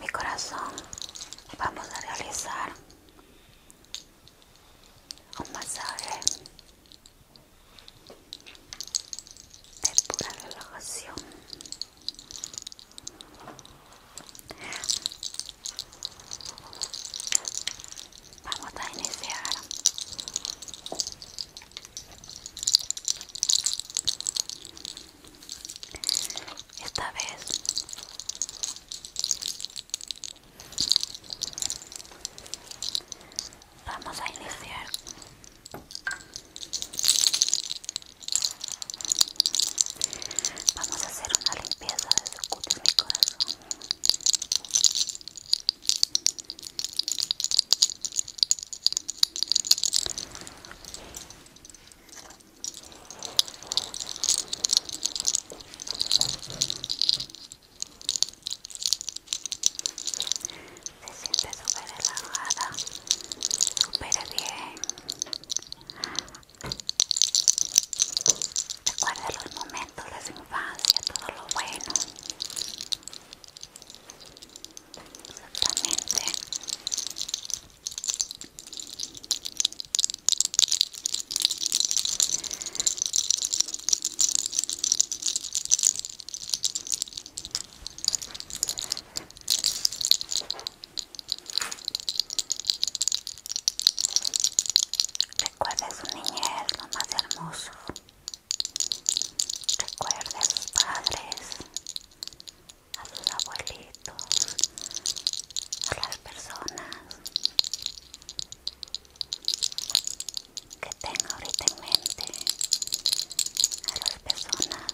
Mi corazón, vamos a realizar un masaje de pura relajación. Vamos a iniciar. Esta vez vamos a iniciar vamos a hacer una limpieza de su cuerpo y corazón se siente súper relajada, súper bien. Recuerda los momentos, las infancia, todo lo bueno. Exactamente. Recuerda su niñez, lo más hermoso. Recuerde a sus padres, a sus abuelitos, a las personas que tenga ahorita en mente, a las personas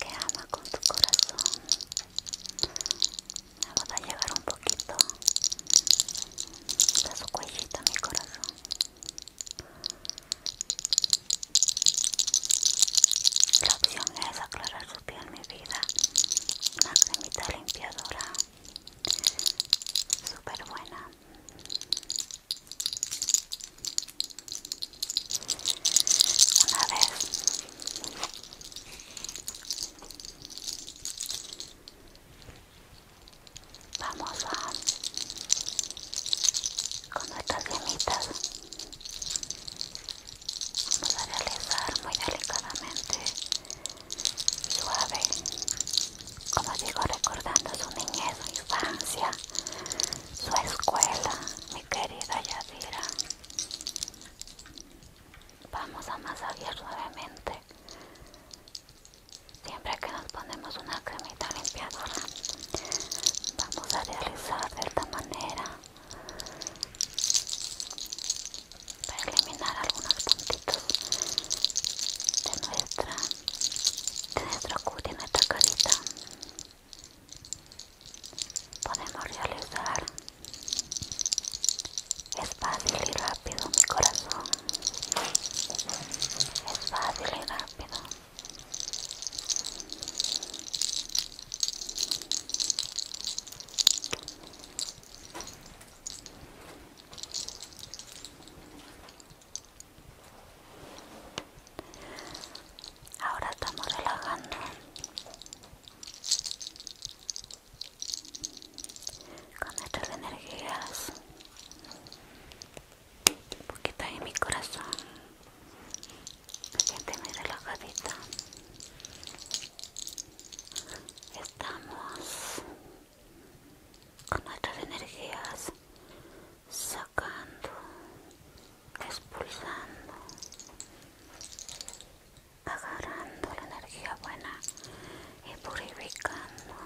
que ama con su corazón vamos a llevar un poquito de su cuellito, mi corazón. La opción es aclarar su piel, mi vida. Una cremita limpiadora, super buena. Una vez Vamos a con nuestras gemitas. Vamos a realizar muy delicadamente, suave, como digo, recordando su niñez, su infancia, su escuela, mi querida Yadira. Vamos a masajear suavemente Siempre que nos ponemos una cremita limpiadora, vamos a realizar de esta manera para eliminar algunos puntitos de nuestra de nuestro cutis, de nuestra carita podemos realizar es fácil y rápido, mi corazón. Es fácil y rápido. Ahora estamos relajando con nuestras energías un poquito en mi corazón siente muy relajadita estamos con nuestras energías sacando expulsando agarrando la energía buena y purificando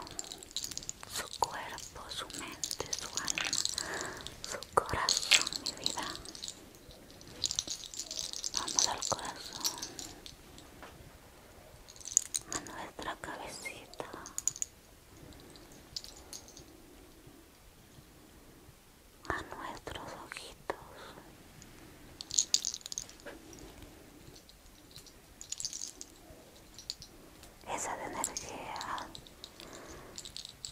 su cuerpo, su mente, su alma, su corazón, mi vida. Vamos al corazón, a nuestra cabecita. A nuestros ojitos, esa de energía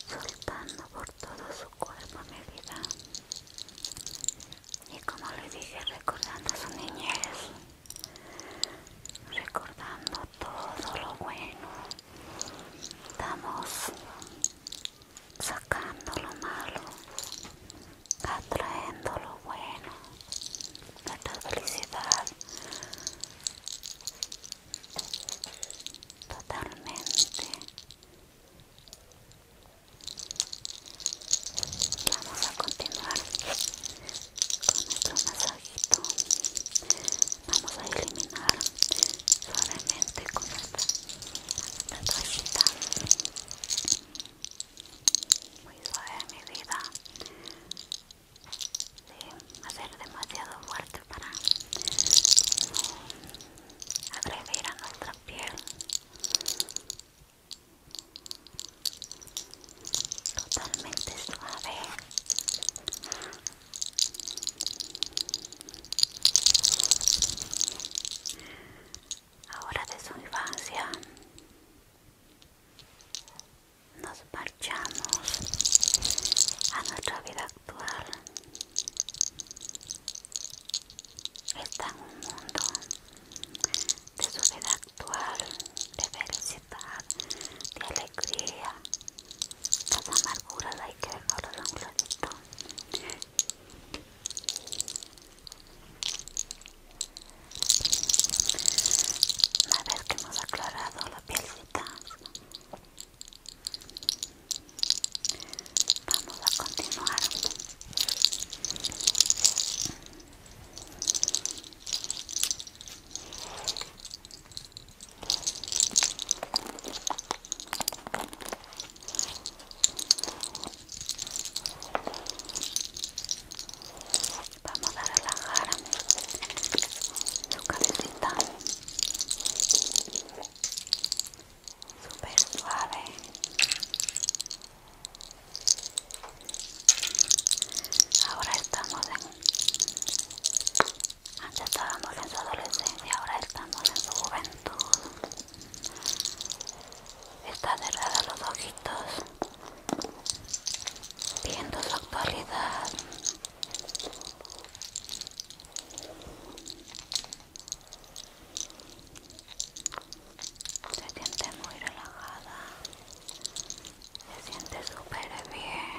soltando por todo su cuerpo mi vida y como le dije recordando su niñez recordando todo lo bueno estamos sacando lo malo atraendo lo bueno, nuestra felicidad totalmente. Vamos a continuar con nuestro masajito. Vamos a eliminar suavemente con esta nuestra muy suave mi vida de hacer demasiado fuerte para agredir a nuestra piel totalmente suave Ahora de su infancia nos marchamos a nuestra vida actual. Está en un mundo de su vida actual, de felicidad, de alegría. Las amarguras hay que dejarlas un ratito a ver que hemos aclarado la pielcita, vamos a continuar. Vamos a relajar su cabecita. super suave. Ahora estamos en... Antes estábamos en su adolescencia, ahora estamos en su juventud. Está cerrada los ojitos viendo su actualidad se siente muy relajada se siente súper bien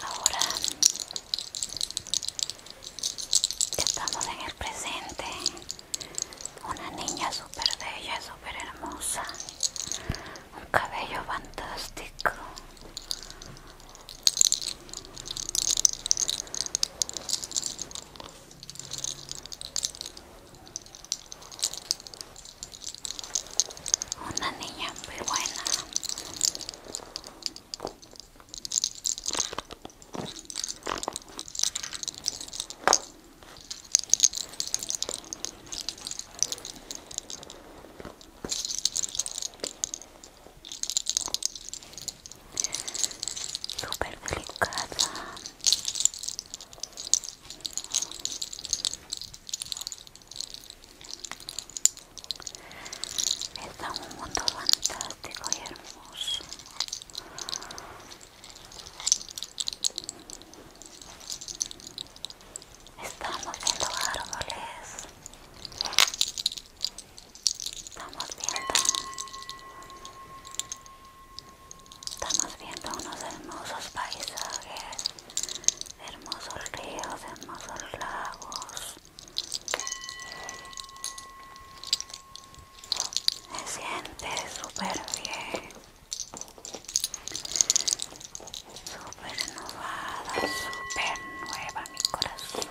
Ahora estamos en el presente. Una niña super bella, super hermosa. Un cabello fantástico. Una niña muy buena. Súper delicada. Está un mundo fantástico y hermoso. Estamos viendo árboles. Estamos viendo Estamos viendo unos hermosos paisajes, hermosos ríos, hermosos lagos. Se siente super bien, super renovada, súper nueva mi corazón.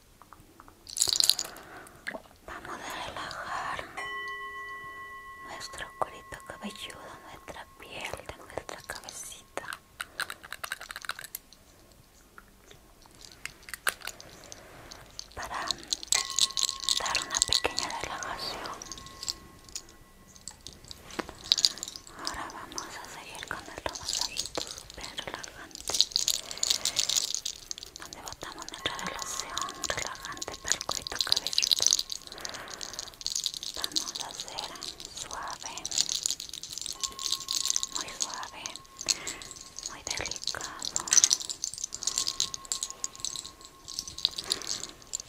Vamos a relajar nuestro cuerito cabelludo, nuestra piel de nuestra cabecita. Para dar una pequeña relajación. Ahora vamos a seguir con el masajito súper relajante donde botamos nuestra relación relajante para el cuello Vamos a hacer suave, muy suave, muy delicado.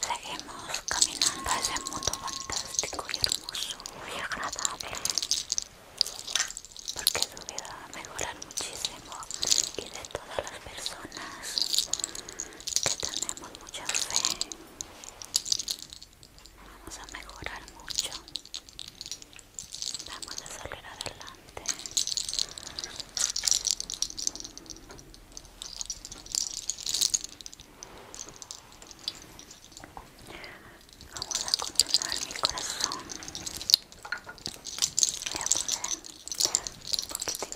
Seguimos caminando a ese mundo fantástico y hermoso y agradable porque su vida va a mejorar muchísimo y de todas las personas que tenemos mucha fe vamos a mejorar mucho vamos a salir adelante Vamos a continuar mi corazón voy a poner un poquitito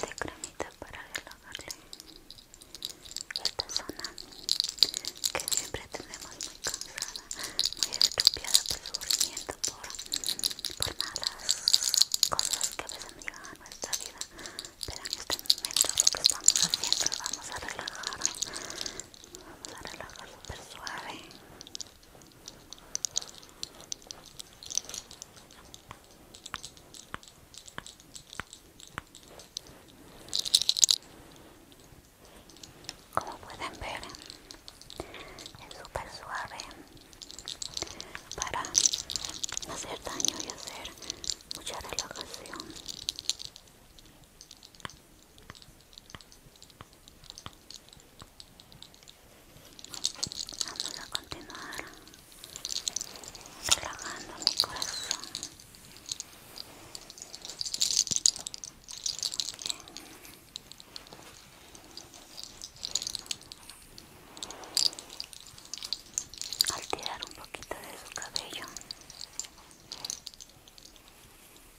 de cremita para relajarle esta zona que siempre tenemos muy cansada, muy estupiada por sufrimiento por, malas cosas que a han a nuestra vida. Pero en este momento lo que estamos haciendo es vamos a relajar, vamos a relajar súper suave. Como pueden ver, es súper suave para hacer daño y hacer mucha relajación. Vamos a continuar relajando mi corazón. Al tirar un poquito de su cabello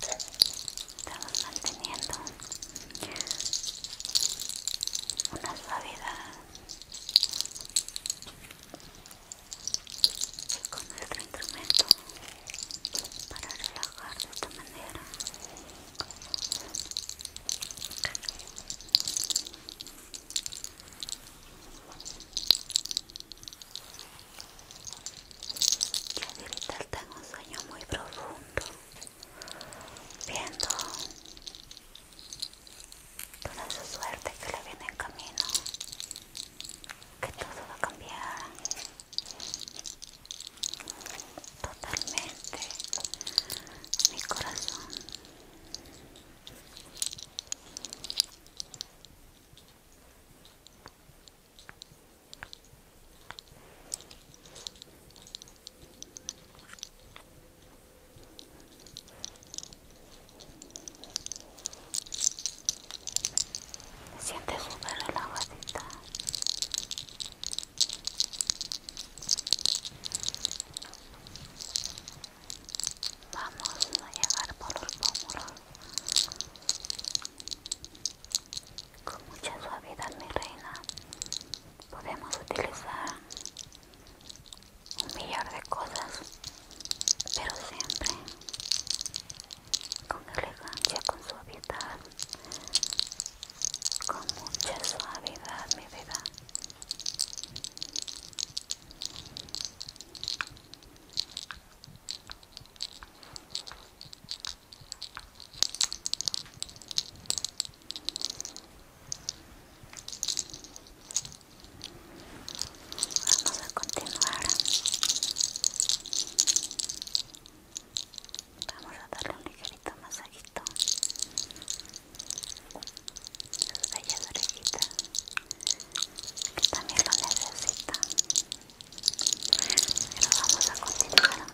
Estamos manteniendo una suavidad con nuestro instrumento para relajar de esta manera. Y ahorita está en un sueño muy profundo, viendo toda su suerte que le viene en camino, que todo va a cambiar, totalmente mi corazón Siente siente la relajadita Vamos a llegar por los pómulos con mucha suavidad, mi reina. Podemos utilizar un millar de cosas, pero siempre con elegancia, con suavidad, con mucha suavidad mi vida Vamos a continuar Vamos a darle un ligerito masajito sus bellas orejitas que también lo necesita pero vamos a continuar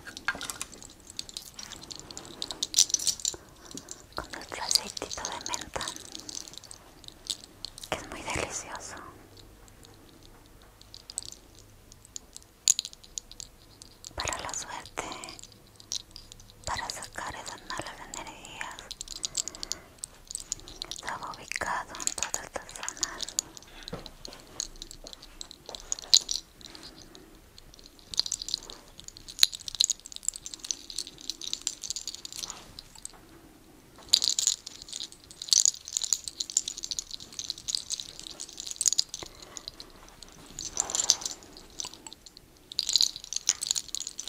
con nuestro aceitito de menta que es muy delicioso para la suerte, para sacar esas malas energías. Estaba ubicado en todas estas zonas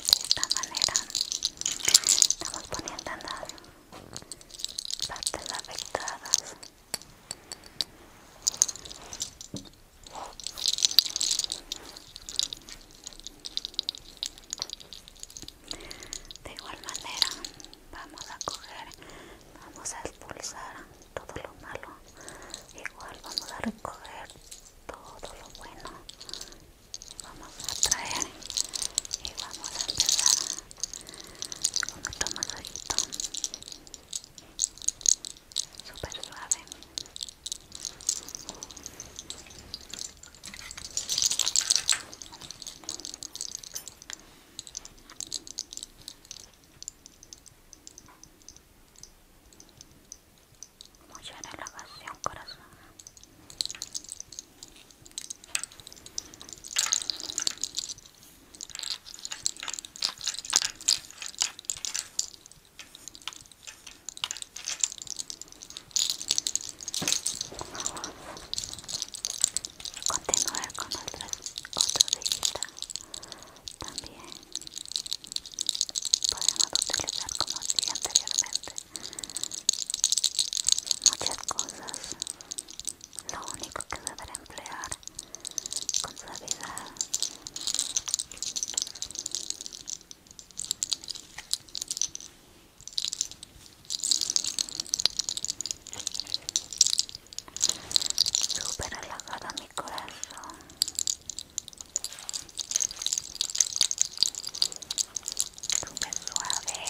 de esta manera estamos poniendo en las partes afectadas de igual manera vamos a coger vamos a expulsar todo lo malo igual vamos a recoger todo lo bueno vamos a traer y vamos a empezar con nuestro masajito super suave Mucha relajación, corazón. Continuar con otras, otra visita también podemos utilizar como dije anteriormente muchas cosas lo único que deberá emplear con suavidad Super relajada mi corazón Súper suave.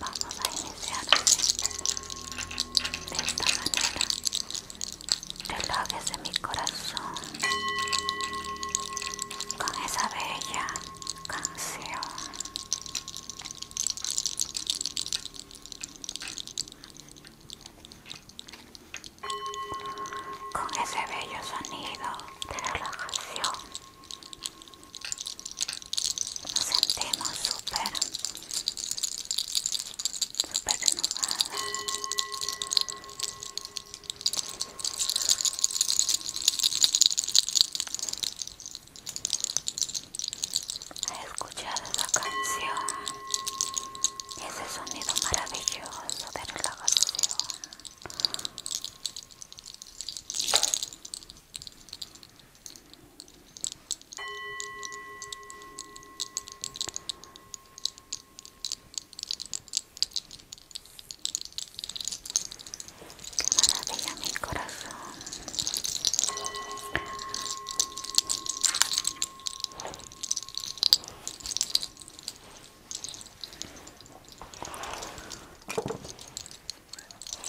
Vamos a iniciar De esta manera. Te Relojes de mi corazón. Con esa bella canción con ese bello sonido de relajación nos sentimos super súper renovadas a escuchar la canción ese sonido maravilloso de relajación maravilla mi corazón.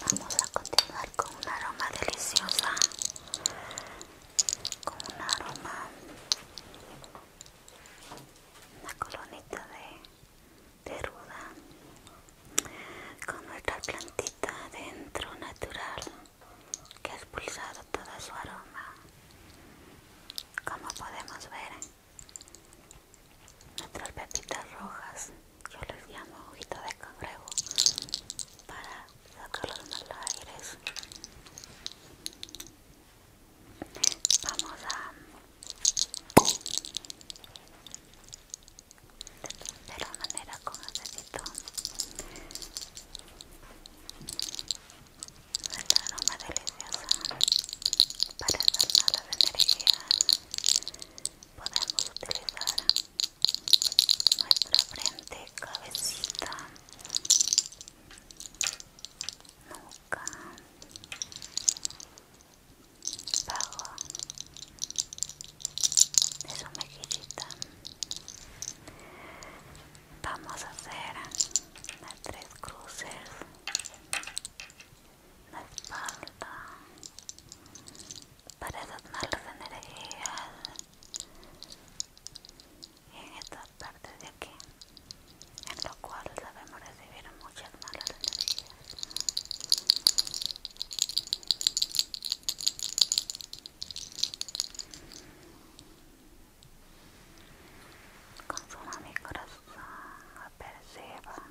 Vamos a continuar con un aroma deliciosa, con un aroma, una colonita de de ruda con nuestra plantita dentro natural que ha expulsado todo su aroma como podemos ver nuestras pepitas rojas yo les llamo ojito de cangrejo para sacarlos los aires vamos a de la manera con acetito el aroma deliciosa para sanar las energías podemos utilizar nuestra frente, cabecita nuca bajo de mejillita vamos a hacer las tres cruces la espalda para esas malas energías en estas partes de aquí en lo cual sabemos recibir mucha calmar las energías. Consuma mi corazón, aperciba.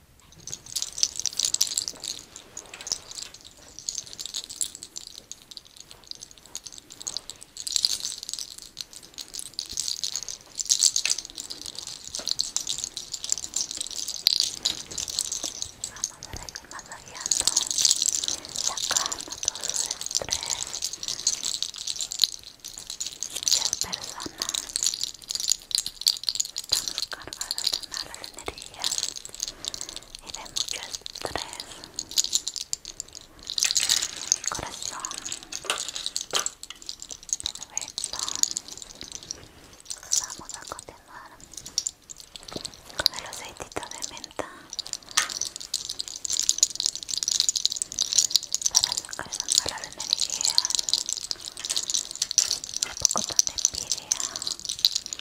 Vamos a seguir masajeando, sacando todo su estrés. Muchas personas estamos cargadas de malas energías y de mucho estrés mi corazón perfecto vamos a continuar con el aceitito de menta para sacar esas malas energías un poco de envidia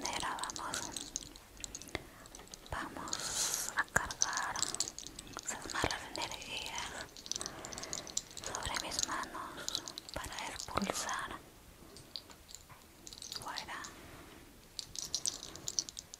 de la vamos vamos a cargar esas malas energías sobre mis manos para expulsar fuera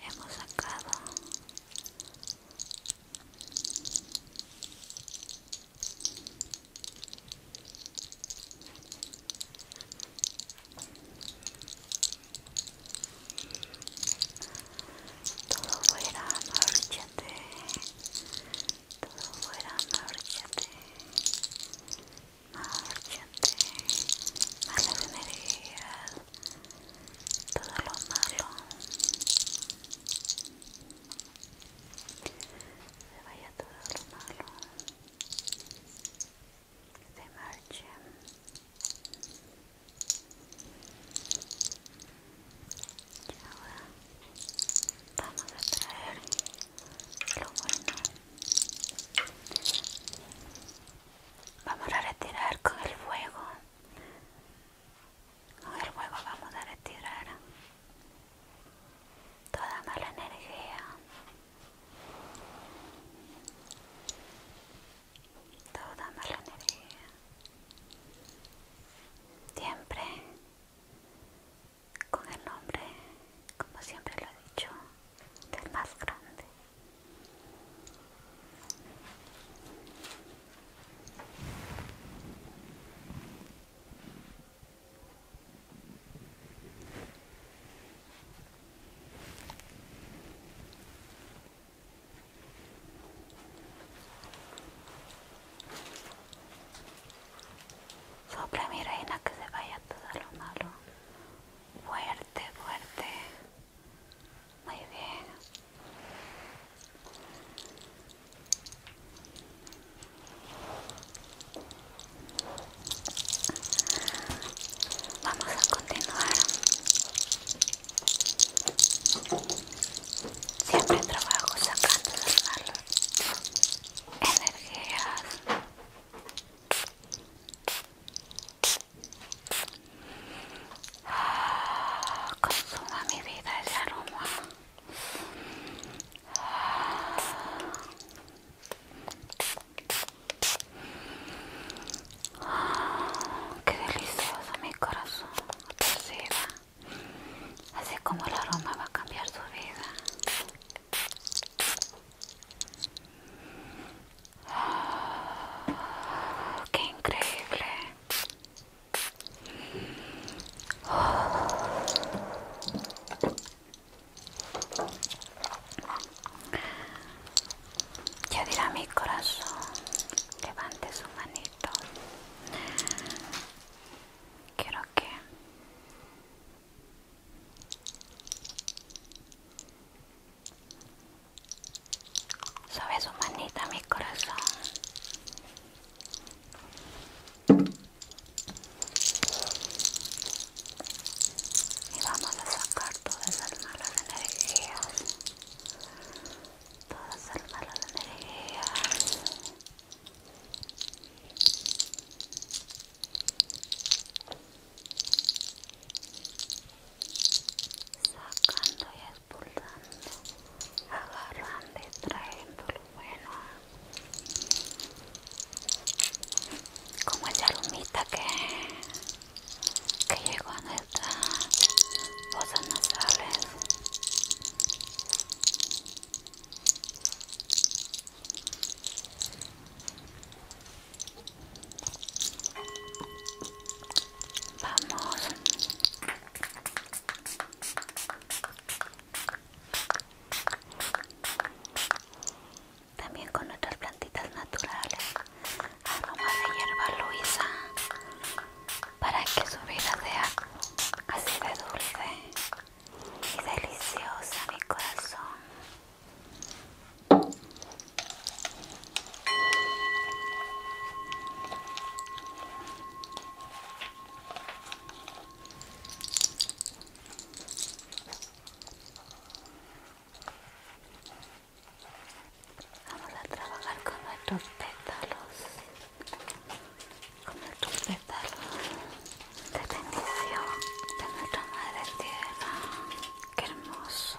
hemos sacado todo fuera, marchante todo fuera, marchante más malas energías todo lo malo se vaya todo lo malo se marche y ahora vamos a traer lo bueno vamos a retirar con el fuego con el fuego vamos a retirar toda mala energía toda mala energía siempre con el nombre como siempre lo he dicho del más grande sobre mi reina que se vaya todo lo malo. Fuerte, fuerte. Muy bien. Vamos a continuar. Siempre trabajo sacando las malas energías consuma mi vida ese aroma. qué delicioso mi corazón, Así como el aroma va a cambiar su vida. ¡Qué increíble! Ya dirá mi corazón, levante su manito. Quiero que Sobe su manita, mi corazón. Y vamos a sacar todas las malas energías. Todas las malas energías sacando y expulsando, agarrando y trayendo lo bueno. Como esa lumita que, que llegó a nuestras no sabes Vamos. También con otras plantitas naturales. Aroma de hierba luisa. Para que su vida sea así de dulce y deliciosa, mi corazón. Vamos a trabajar con nuestros pétalos, con nuestros pétalos de bendición de nuestra madre tierra. Qué hermoso.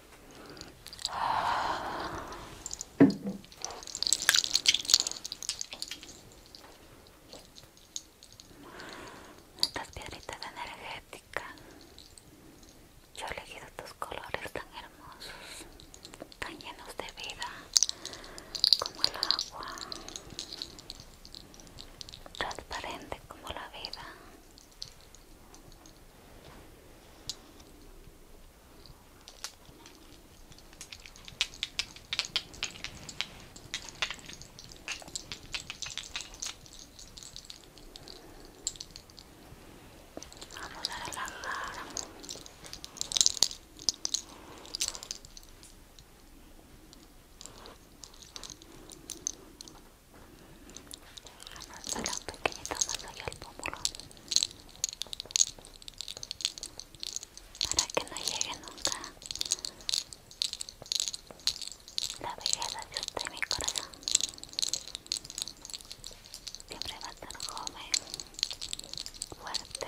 Estas piedritas energéticas. Yo he elegido tus colores tan hermosos, tan llenos de vida, como el agua, transparente como la vida. Vamos a relajar. a los pequeñitos más allá el pómulo para que no llegue nunca la belleza de usted mi corazón siempre va a estar joven fuerte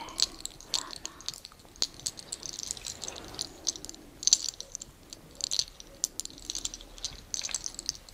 sano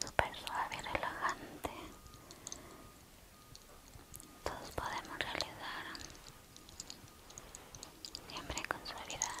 super suave y relajante. Todos podemos realizar siempre con suavidad.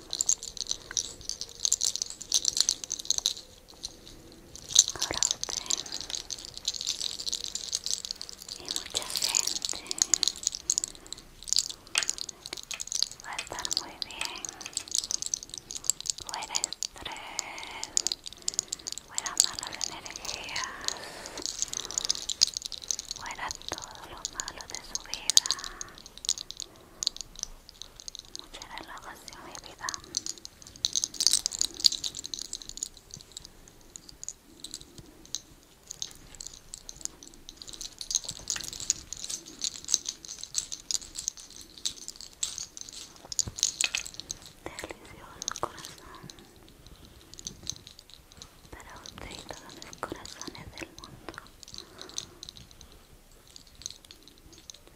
Ahora usted y mucha gente va a estar muy bien. Fuera estrés, fuera malas energías, fuera todo lo malo de su vida mucha relajación y vida. Delicioso corazón para usted y todos los corazones del mundo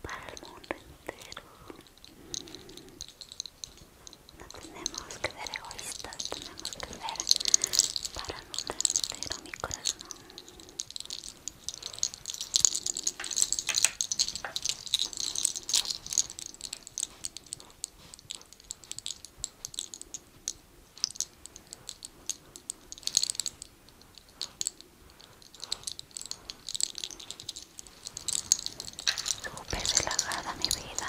para el mundo entero. No tenemos que ser egoístas, tenemos que ser para el mundo entero, mi corazón super relajada mi vida.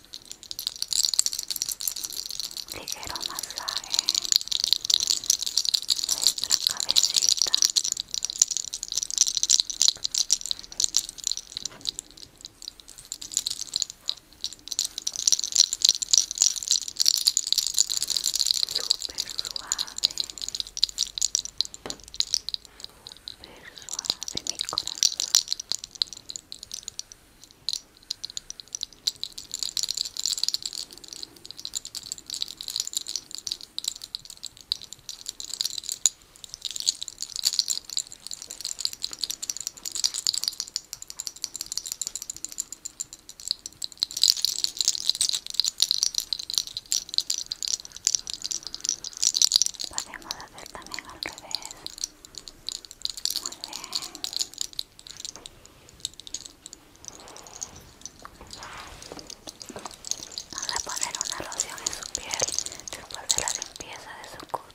ligero masaje nuestra cabecita super suave super suave mi corazón Podemos hacer también al revés. Muy bien. Vamos a poner una loción en su piel después de la limpieza de su cuchilla.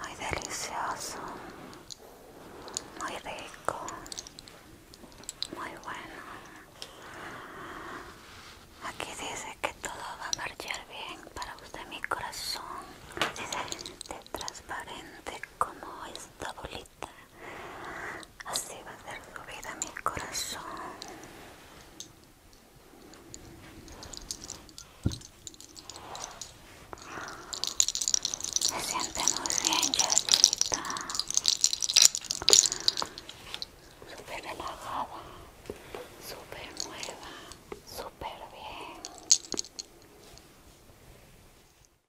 Muy delicioso, muy rico, muy bueno. Aquí dice que todo va a marchar bien para usted, mi corazón. es transparente como esta bolita así va a ser su vida mi corazón Me siente muy bien Jessita súper relajada super nueva súper bien